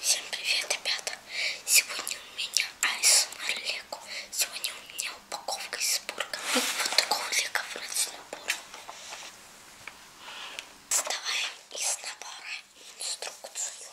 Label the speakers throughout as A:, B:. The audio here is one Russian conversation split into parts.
A: Всем привет, ребята! Сегодня у меня айс Лего. Сегодня у меня упаковка из бурга. Вот такого лего вручную бурга. Вставаем из набора инструкцию.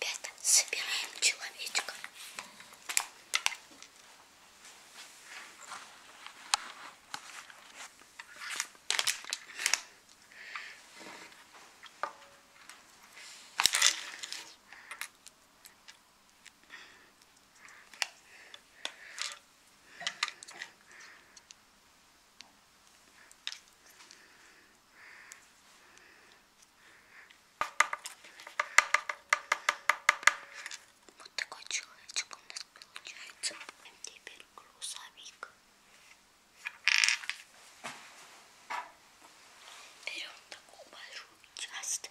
A: Ребята, собираем человечка. Вот такой человечек у нас получается. А теперь грузовик. Берем такую большую часть.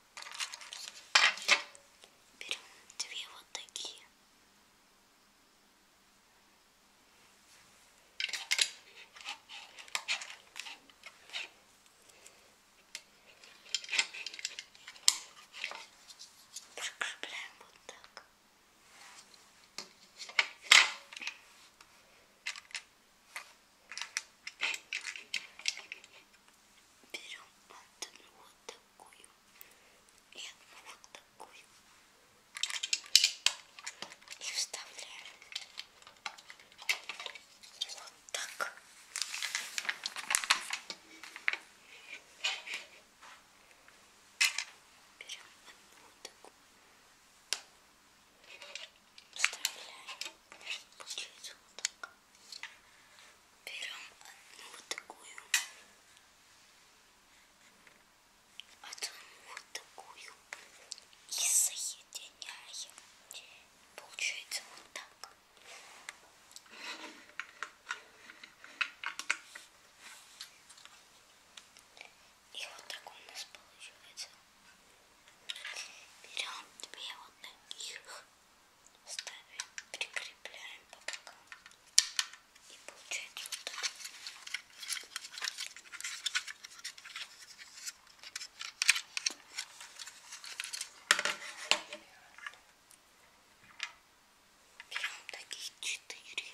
A: Берем две вот такие. Прикрепляем вот так. Берем одну вот такую такую и одну вот такую и вставляем вот так берем одну такую вставляем получается вот так берем одну вот такую, одну вот такую и соединяем. Получается вот так. И вот так у нас получается. Берем две вот таких ставим, прикрепляем по бокам и получается вот так. Берем таких четыре.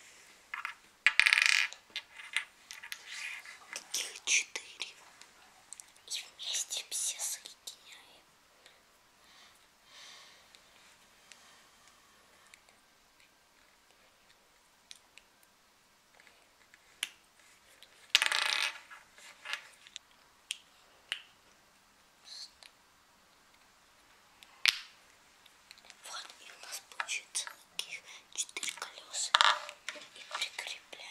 A: Таких четыре. И вместе все соединяем. Вот и у нас получится таких четыре колеса и прикрепляем.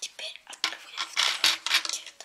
A: Теперь открываем второй пакет.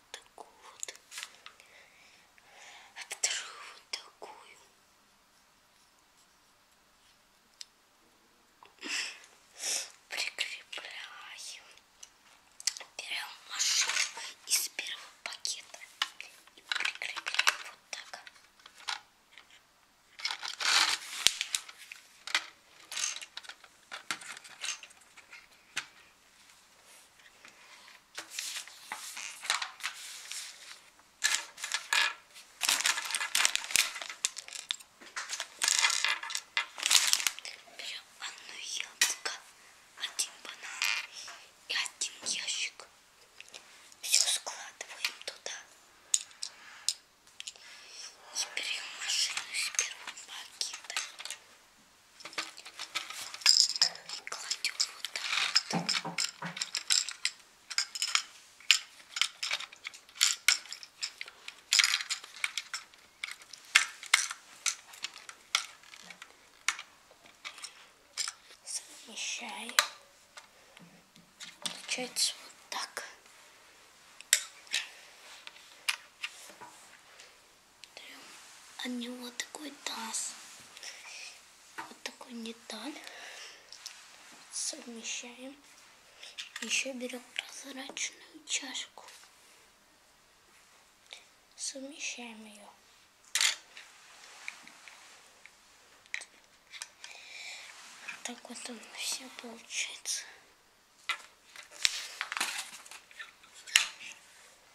A: вот такую вот, а вторую вот такую. Прикрепляем. Берем машинку из первого пакета и прикрепляем вот так. Берем одно яблоко, один банан и один ящик. Все складываем туда. И берем машину с первого пакета. Кладем вот так вот. Совмещаем. Получается вот так от а него такой таз. Вот такой деталь. Совмещаем. Еще берем прозрачную чашку. Совмещаем ее. Так вот он все получается.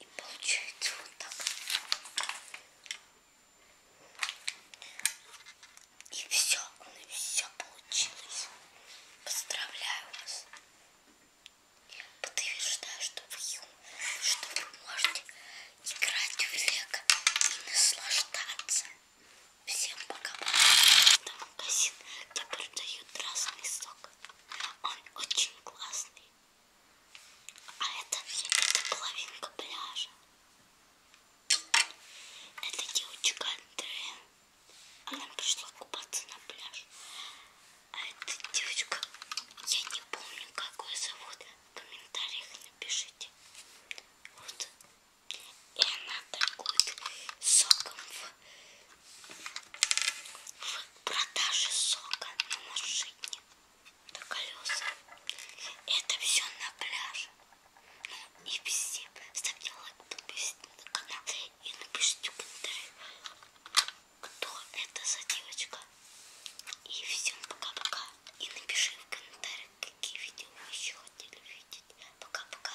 A: И получается вот так. И все, у нас все получилось. Поздравляю вас. Подтверждаю, что вы, что вы можете играть в лего и наслаждаться. Всем пока. Это магазин, где продают разный сок. Он очень классный. А это, это половинка пляжа. Это девочка Андрея. Она пришла купаться на пляж. А эта девочка, я не помню, как ее зовут. В комментариях напишите. Вот. И она торгует соком в продажи сока на машине на колеса. Это все на пляже. Ну и везде. Ставьте лайк, подписывайтесь на канал и напишите в комментариях, кто это за девочка. И всем пока-пока. И напиши в комментариях, какие видео вы еще хотели видеть. Пока-пока.